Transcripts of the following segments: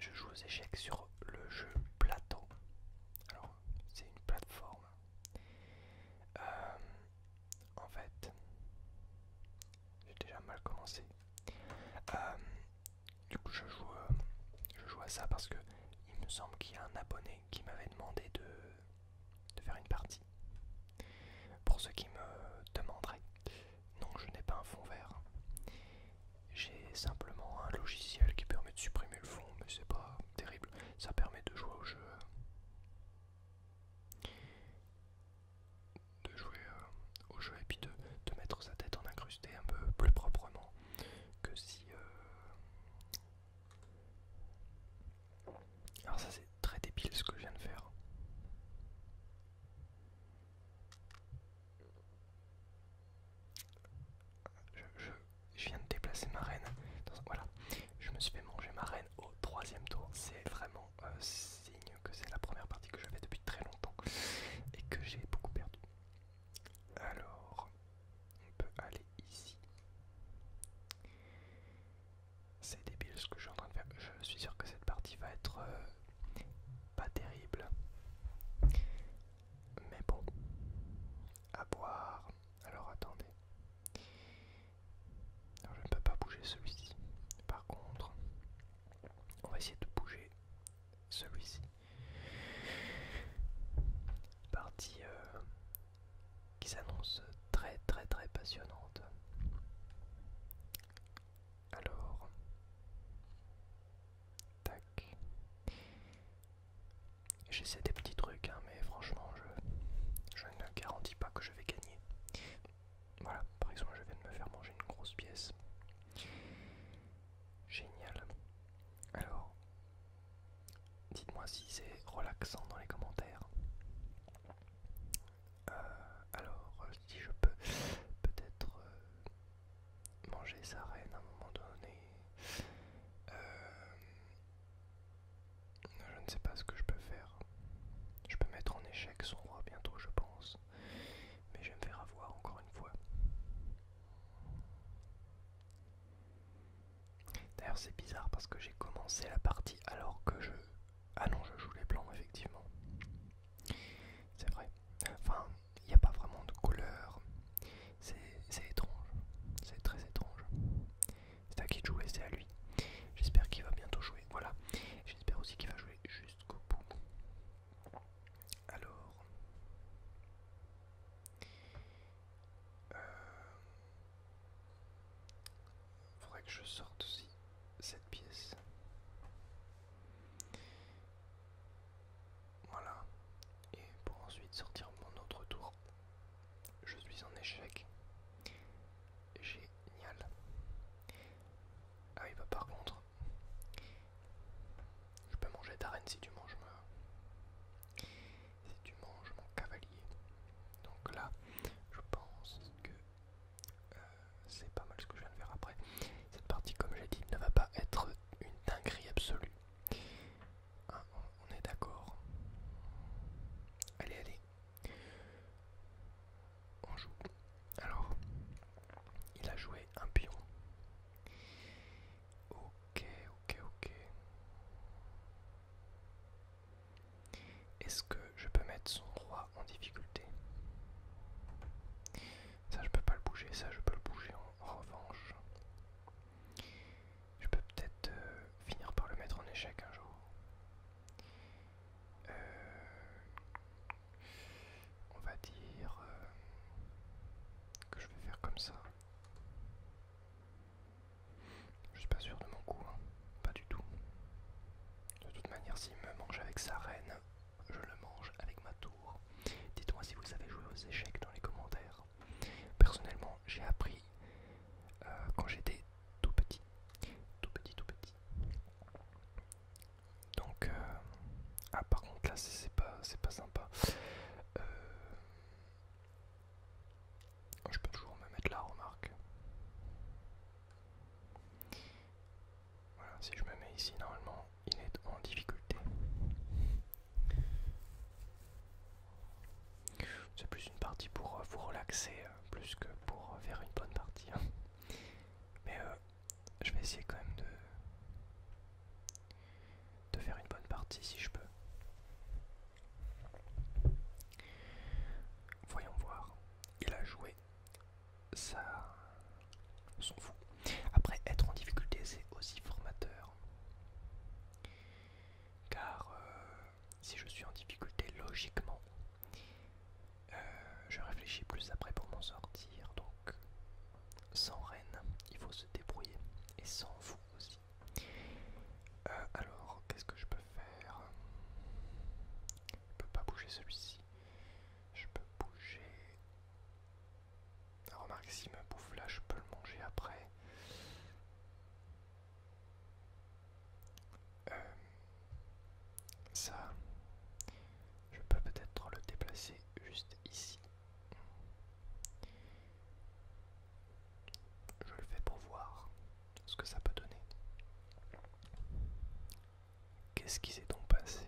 Je joue aux échecs sur le jeu Plateau. Alors, c'est une plateforme. Euh, en fait, j'ai déjà mal commencé. Euh, du coup, je joue, euh, je joue à ça parce que il me semble qu'il y a un abonné qui m'avait demandé de faire une partie. Pour ceux qui me demanderaient, non, je n'ai pas un fond vert. J'ai simplement un logiciel qui permet de supprimer le fond, mais c'est pas terrible. Ça permet de jouer au jeu. De jouer euh, au jeu et puis de, mettre sa tête en incrusté un peu plus proprement que si. Euh, Alors, ça, c'est très débile ce que je viens de faire. Je, viens de déplacer ma reine. voilà, je me suis fait manger ma reine au troisième tour. C'est vraiment euh, signe que c'est la première partie que je fais depuis très longtemps et que j'ai beaucoup perdu. Alors, on peut aller ici. C'est débile ce que je suis en train de faire. Je suis sûr que cette partie va être euh, pas terrible. Mais bon, à boire. Alors attendez. je ne peux pas bouger celui-ci. Par contre, on va essayer de bouger celui-ci. Partie euh, qui s'annonce très très très passionnante. Alors, tac. J'essaie des petits trucs, hein, mais franchement, je ne garantis pas que je vais gagner. Voilà, par exemple, je viens de me faire manger une grosse pièce. Génial. Alors, dites-moi si c'est relaxant dans les commentaires. Euh, alors, euh, si je peux peut-être euh, manger sa reine à un moment donné, je ne sais pas ce que je peux faire. Je peux mettre en échec son roi bientôt, je pense, mais je me faire avoir encore une fois. D'ailleurs, c'est bizarre parce que j'ai commencé la partie alors que je ah non, je joue les blancs, effectivement. C'est vrai. Enfin, il n'y a pas vraiment de couleur. C'est étrange. C'est très étrange. C'est à qui de jouer, c'est à lui. J'espère qu'il va bientôt jouer. Voilà. J'espère aussi qu'il va jouer jusqu'au bout. Alors. Euh, faudrait que je sorte aussi cette pièce. Voilà. Et pour ensuite sortir mon autre tour, je suis en échec. Génial. Ah il va bah, par contre, je peux manger d'arène si tu manges Si tu manges mon cavalier. Donc là, je pense que euh, c'est pas mal ce que je viens de faire après. Cette partie, comme j'ai dit, ne va pas être une dinguerie absolue. Ah, on est d'accord. Allez, allez. On joue. Alors, il a joué un pion. Ok, ok, ok. Est-ce que je peux mettre son roi en difficulté Ça je peux pas le bouger, ça je peux le bouger en, revanche. Je peux peut-être euh, finir par le mettre en échec un jour. Euh, on va dire euh, que je vais faire comme ça. Je suis pas sûr de mon coup, hein. pas du tout. De toute manière, s'il me mange avec sa reine, je le mange avec ma tour. Dites-moi si vous avez joué aux échecs dans les commentaires. Personnellement, j'ai appris euh, quand j'étais tout petit. Tout petit, tout petit. Donc, euh, ah par contre là, c'est pas, pas sympa. Euh, Oh, je peux toujours me mettre la remarque. Voilà, si je me mets ici, normalement, il est en difficulté. C'est plus une partie pour euh, vous relaxer, euh, plus que pour euh, faire une bonne partie. Hein. Mais je vais essayer quand même de, de faire une bonne partie si je peux. Voyons voir. Il a joué. Ça fou. vous. Après, être en difficulté, c'est aussi formateur. Car euh, si je suis en difficulté, logiquement, euh, je réfléchis plus après pour m'en sortir. Donc, sans reine, il faut se débrouiller. Et sans vous aussi. Euh, alors, qu'est-ce que je peux faire Je ne peux pas bouger celui-ci. Je peux bouger. Ah, remarque, s'il me bouffe là, je peux le manger après. Euh, ça, je peux peut-être le déplacer juste ici. Je le fais pour voir ce que ça peut donner. Qu'est-ce qui s'est donc passé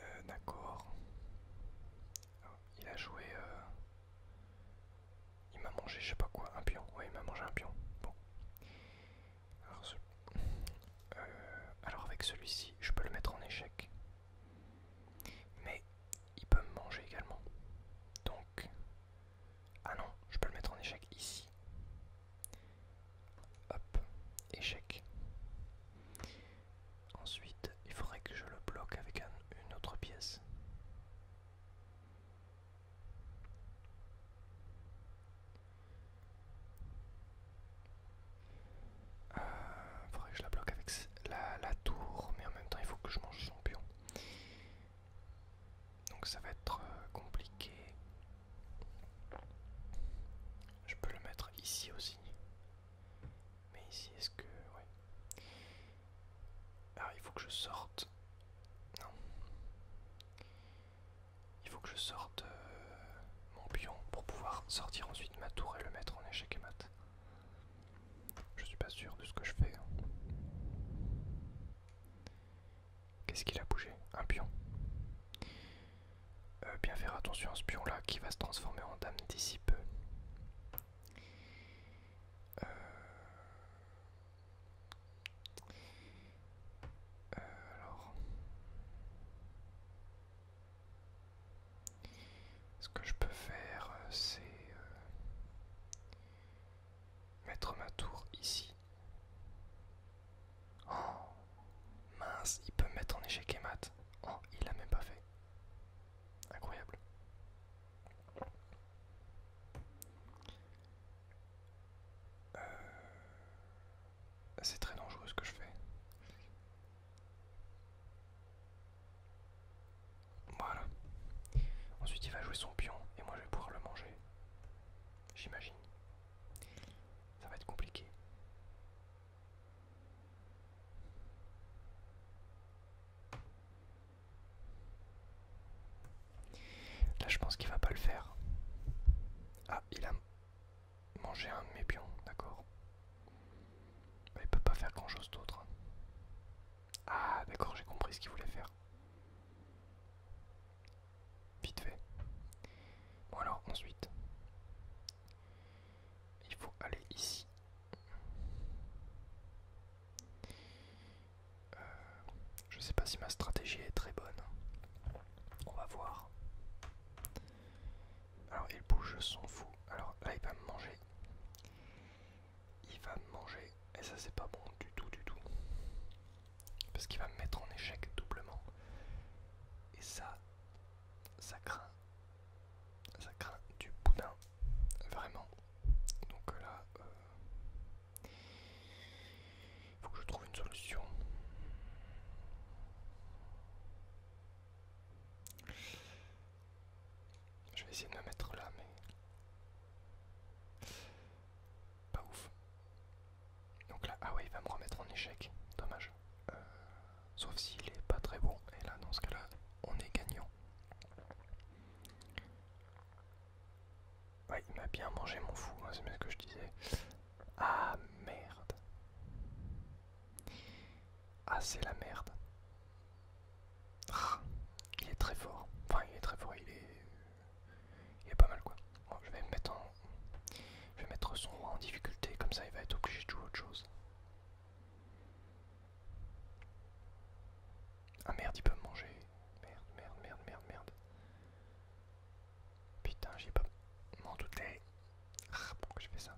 euh, D'accord. Il a joué... Euh, il m'a mangé je sais pas quoi, un pion. Oui, il m'a mangé un pion. Bon. Euh, alors avec celui-ci, je peux le mettre en échec. Mais il peut me manger également. Donc... Ah non, je peux le mettre en échec ici. Hop, échec. Ensuite, il faudrait que je le bloque avec une autre pièce. Il euh, faudrait que je la bloque avec la, tour, mais en même temps il faut que je mange son pion. Donc ça va être euh, compliqué. Je peux le mettre ici aussi. Mais ici, est-ce que... Ouais. Alors ah, il faut que je sorte. Non. Il faut que je sorte euh, mon pion pour pouvoir sortir ensuite ma tour et le mettre en échec et mat. Je suis pas sûr de ce que je fais. Hein. Qu'est-ce qu'il a bougé Un pion. Euh, bien faire attention à ce pion là qui va se transformer en dame d'ici peu. Euh. Euh, alors. Ce que je peux faire, euh, c'est euh, mettre ma tour ici. Oh mince, il peut me mettre en échec et mat. Oh, il l'a même pas fait. Incroyable. Euh, c'est très dangereux ce que je fais. Voilà. Ensuite il va jouer son pion et moi je vais pouvoir le manger. J'imagine. Ça va être compliqué. Là je pense qu'il va pas le faire. Ah, il a mangé un de mes pions, d'accord. Mais il peut pas faire grand chose d'autre. Hein. Ah d'accord, j'ai compris ce qu'il voulait faire. Vite fait. Bon alors ensuite, il faut aller ici. Euh, je ne sais pas si ma stratégie est très bonne. On va voir. Alors il bouge, s'en fou. Alors là il va me manger. Il va me manger. Et ça c'est pas bon du tout du tout. Parce qu'il va me mettre en échec doublement. Et ça, ça craint. Ça craint du boudin. Vraiment. Donc euh, là... il euh, faut que je trouve une solution. Je vais essayer de me mettre là, mais... Pas ouf. Donc là, ah ouais, il va me remettre en échec. Dommage. Euh, sauf s'il est pas très bon. Et là, dans ce cas-là, on est gagnant. Ouais, il m'a bien mangé mon fou, hein, c'est bien ce que je disais. Ah merde. Ah, c'est la merde. Ah, il est très fort. Enfin, il est très fort, il est, il pas mal quoi. je vais mettre Je vais mettre son roi en difficulté, comme ça il va être obligé de jouer autre chose. Ah merde, il peut me manger. Merde, merde, merde, merde, merde. Putain, j'ai pas. M'en doutais. Ah, pourquoi j'ai fait ça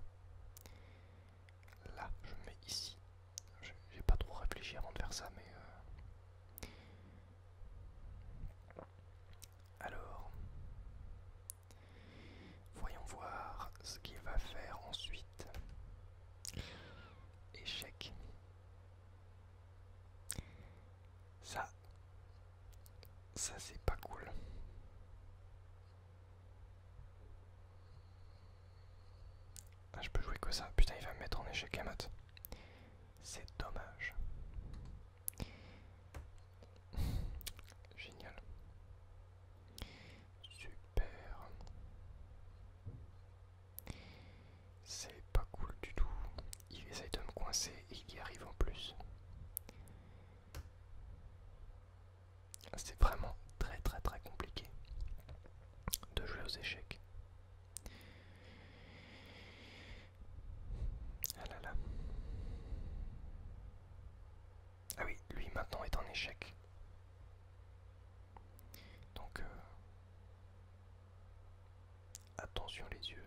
Là, je me mets ici. J'ai pas trop réfléchi avant de faire ça, mais. Euh. Alors. Voyons voir ce qu'il va faire ensuite. Échec. Ça, ça c'est pas cool. Ah, je peux jouer que ça. Putain, il va me mettre en échec à mat. C'est dommage. Génial. Super. C'est pas cool du tout. Il essaye de me coincer et il y arrive en plus. C'est vraiment très très très compliqué de jouer aux échecs. Ah là là. Ah oui, lui maintenant est en échec. Donc euh, Attention les yeux.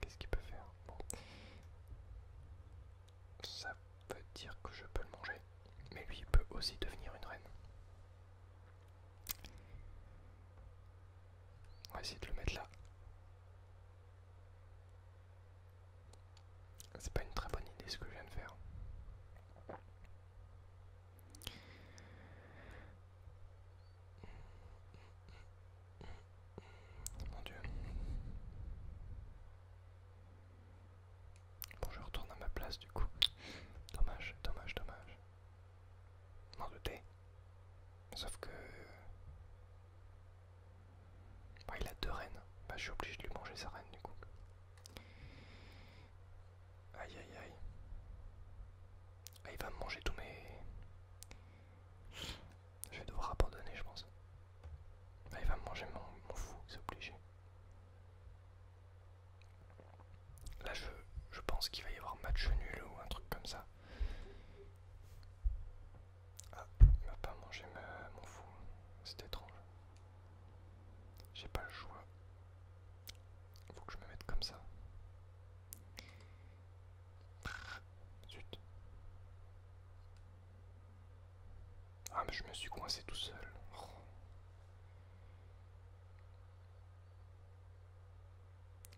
Qu'est-ce qu'il peut faire Ça veut dire que je peux le manger. Mais lui, il peut aussi devenir une reine. On va essayer de le mettre là. C'est pas une très bonne idée ce que je viens de faire. Mon dieu. Bon, je retourne à ma place du coup. Dommage, dommage, dommage. M'en doutais. Sauf que. il a deux rennes. Bah, je suis obligé de lui manger sa reine du coup. Aïe aïe aïe. Ah, il va me manger tous mes. Je vais devoir abandonner, je pense. Ah, il va me manger mon, fou, c'est obligé. Là, je, je pense qu'il va y avoir match nul ou un truc comme ça. Ah, il va pas manger mon fou. C'est étrange. J'ai pas le choix. il Faut que je me mette comme ça. Ah mais je me suis coincé tout seul.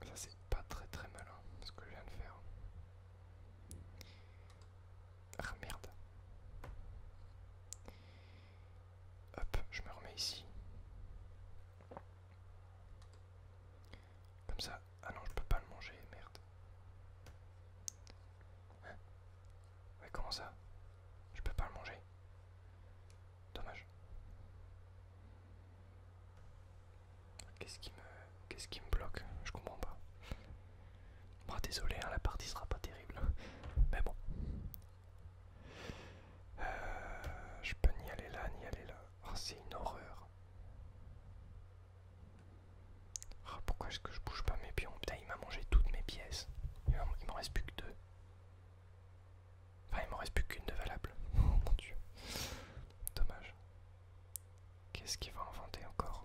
Ça c'est pas très très malin ce que je viens de faire. Ah merde. Hop, je me remets ici. Comme ça. Ah non, je peux pas le manger, merde. Mais hein comment ça Je peux pas le manger. Dommage. Qu'est-ce qui me. Qu'est-ce qui me bloque Je comprends pas. Bon bah, désolé, hein, la partie sera pas terrible. Mais bon. Euh, je peux ni aller là, ni aller là. Oh, c'est une horreur. Oh, pourquoi est-ce que je bouge pas mes pions Putain, il m'a mangé toutes mes pièces. Il m'en reste plus que deux. Enfin, il m'en reste plus qu'une de valable. Oh, mon dieu. Dommage. Qu'est-ce qu'il va inventer encore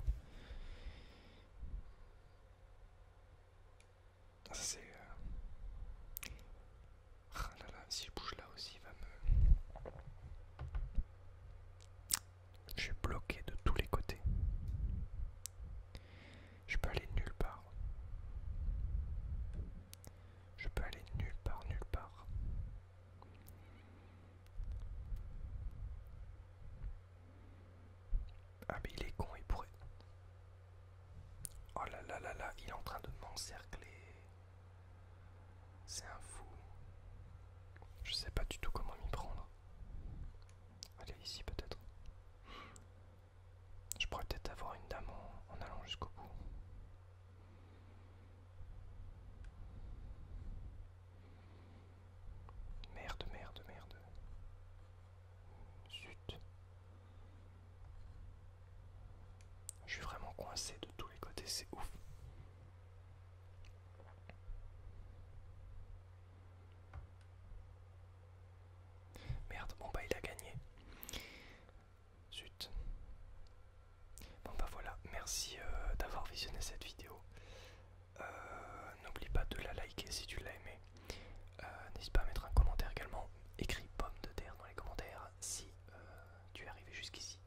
Ça, c'est. Euh, ah là là, si je bouge là aussi, il va me... Je suis bloqué de tous les côtés. Je peux aller nulle part. Je peux aller nulle part, nulle part. Ah mais il est con, il pourrait... Oh là là là là, il est en train de m'encercler. C'est un fou. Je sais pas du tout comment m'y prendre. Allez, ici peut-être. Je pourrais peut-être avoir une dame en, allant jusqu'au bout. Merde, merde, merde. Zut. Je suis vraiment coincé de tous les côtés, c'est ouf. Merde, bon bah il a gagné. Zut. Bon bah voilà, merci euh, d'avoir visionné cette vidéo. Euh, n'oublie pas de la liker si tu l'as aimé. Euh, n'hésite pas à mettre un commentaire également écris pomme de terre dans les commentaires si euh, tu es arrivé jusqu'ici.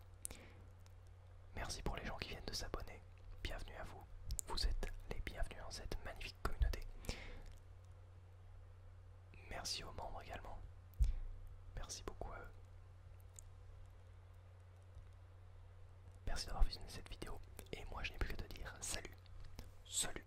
Merci pour les gens qui viennent de s'abonner. Bienvenue à vous. Vous êtes les bienvenus dans cette magnifique communauté. Merci aux membres également. Merci beaucoup à eux. Merci d'avoir visionné cette vidéo. Et moi, je n'ai plus que te dire salut. Salut.